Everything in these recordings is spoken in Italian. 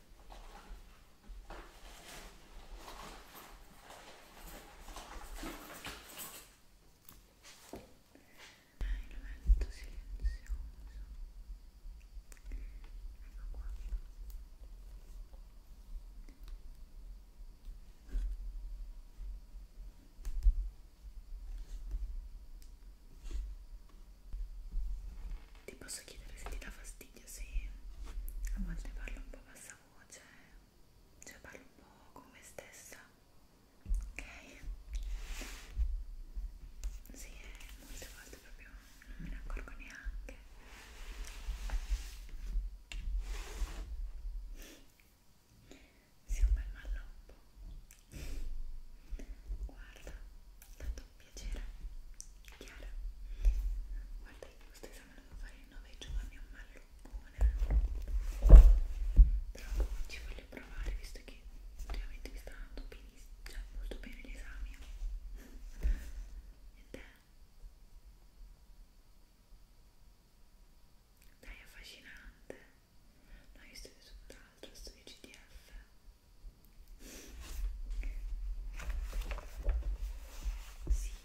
il vento silenzioso ecco qua ti posso chiedere se ti dà fastidio se a volte parlo un po' abbastanza stessa voce, cioè, cioè parlo un po' con me stessa, ok? Sì, eh, molte volte proprio non me ne accorgo neanche. Sì, un bel malloppo. Guarda, tanto un piacere. Chiara, guarda, io sto potranno fare in 9 giorni un malloppone però ci voglio provare visto che ultimamente mi sta andando benissimo cioè molto bene gli esami e te? dai affascinante no io studio tutt'altro studio CTF sì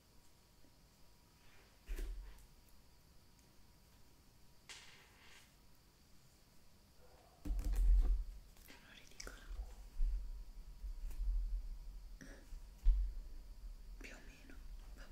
Sono ridicola più o meno ok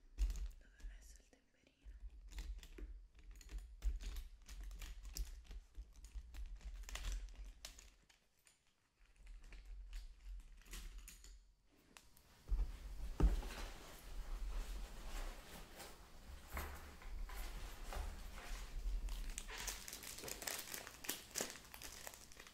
dove ho messo il temperino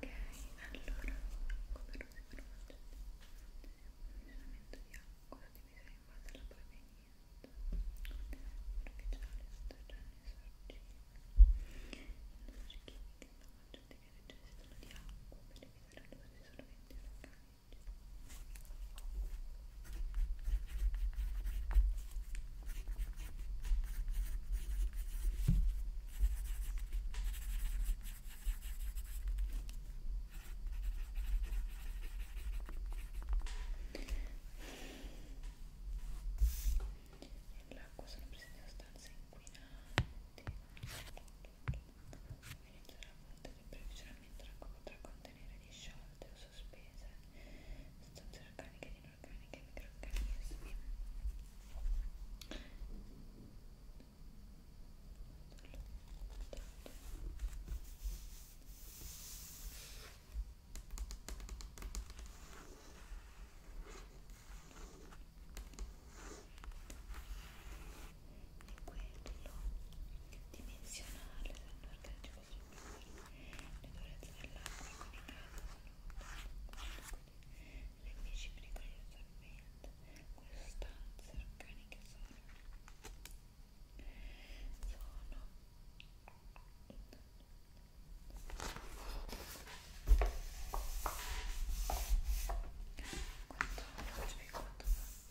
Ok, allora, come lo si pronuncia? Funzionamento di acqua, divisa in base alla provenienza, superficiale, sotterranea, sorgente, industrie chimiche, immagini che necessitano di acqua per evitare l'uso di solventi organici. L'acqua sono presenti in stanze inquinanti. Finito la fonte che previsionalmente l'acqua potrà contenere disciolte o sospese sostanze organiche di inorganiche e microorganismi e quello dimensionale dell'organico le durezze dell'acqua comunicata sono le 10 mg di assorbente, queste sostanze organiche sono sono quanto faccio e quanto faccio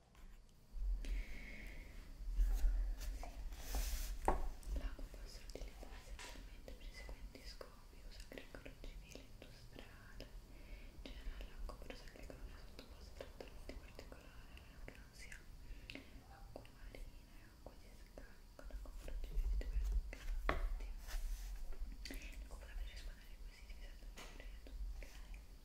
L'acqua può essere utilizzata essenzialmente per i seguenti scopi: uso agricolo, civile, industriale. In generale, l'acqua per uso agricolo non è sottoposta a trattamenti particolari, anche non sia acqua marina e acqua di scarico. L'acqua per uso civile deve essere L'acqua potrebbe rispondere ai requisiti di salute, ok?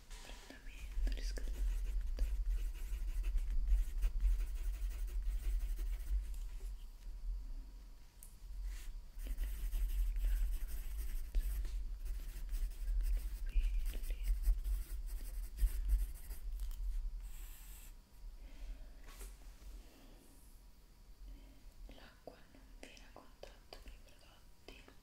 trattamento, riscaldamento L'acqua non viene a contatto con i prodotti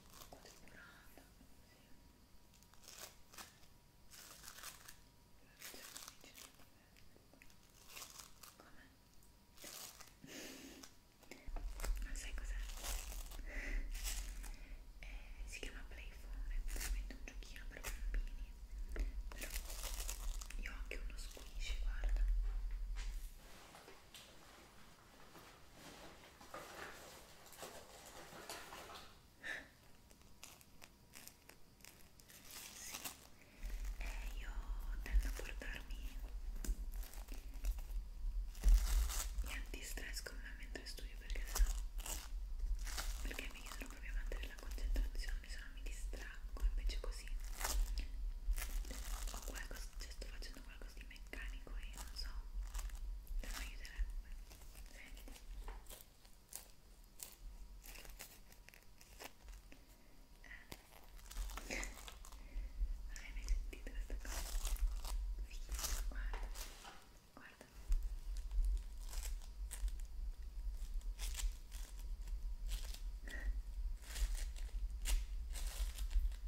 decorata così non sai cos'è? Eh, si chiama Playphone, è veramente un giochino per bambini però io ho anche uno squish, guarda sì, e io tendo a portarmi gli antistress con me mentre studio perché so perché mi chiedono proprio a mantenere la concentrazione, se no mi distraggo, invece così ho qualcosa, cioè sto facendo qualcosa di il meccanico e non so se mi aiuterebbe senti eh. non hai mai sentito questa cosa? Fichissimo, guarda guarda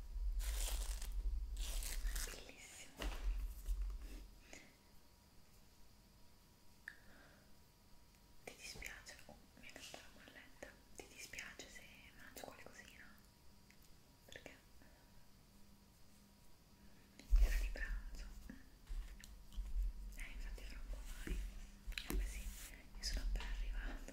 bellissimo ti dispiace oh, mi ha caduto la bolletta ti dispiace se mangio qualcosina perché era di pranzo eh infatti fra un po' vai eh beh sì io sono appena arrivato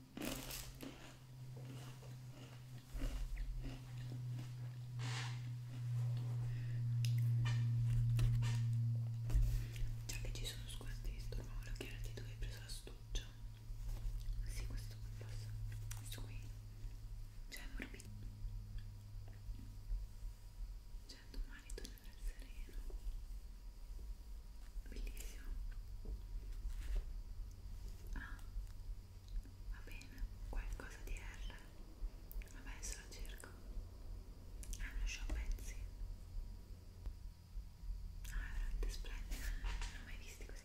Già che ci sono sguardi di storno, volevo chiederti dove hai preso l'astuccia. Sì, questo qui passa. Questo qui. Cioè, è morbido. Cioè, domani tornerà sereno. Bellissimo. Ah, va bene, qualcosa di R. Vabbè, se lo cerco. Ah, lo show pezzi. Ah, è veramente splendido. Non ho mai visti così.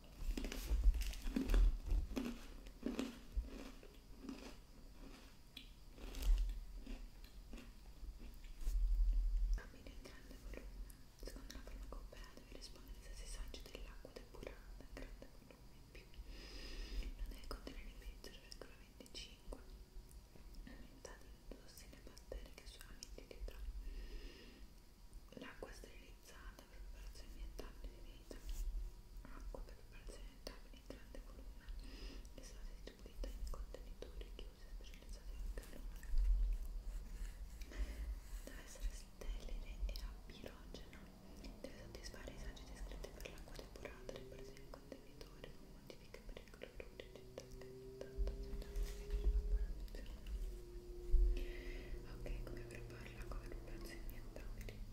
Abbina il grande volume. Secondo la forma europea deve rispondere se si saggia dell'acqua depurata in grande volume in più. Non deve contenere meno 0,25 aumentati di tossine e batteri che solamente ti dà. L'acqua sterile utilizzata per preparazioni ettabili di vita. Acqua per preparazioni ettabili in grande volume è stata distribuita in contenitori chiusi e sterilizzati al calore. Deve essere sterile e apirogena. Deve soddisfare i saggi descritti per l'acqua depurata ripresa in contenitore con modifiche per il cloruro di Ok, come preparare l'acqua per preparazioni ettabili?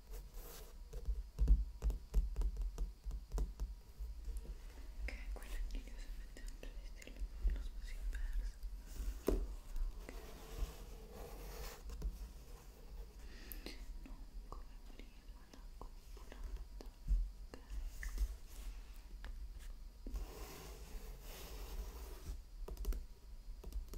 Ok, qui il mio semplicemente di stile lo spazio inverso. Ok. Non come prima la copulata. Ok.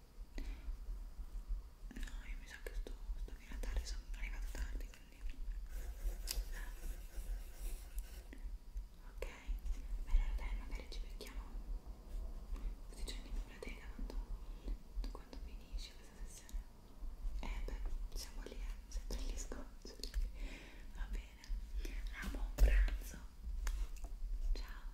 No, io mi sa che sto, sto di Natale sono arrivata tardi, quindi... Ok, beh allora dai, magari ci becchiamo così c'è in biblioteca quando, quando finisce questa sessione. Eh beh, siamo lì, eh, sempre gli sconci. Va bene, ah, buon pranzo. Ciao.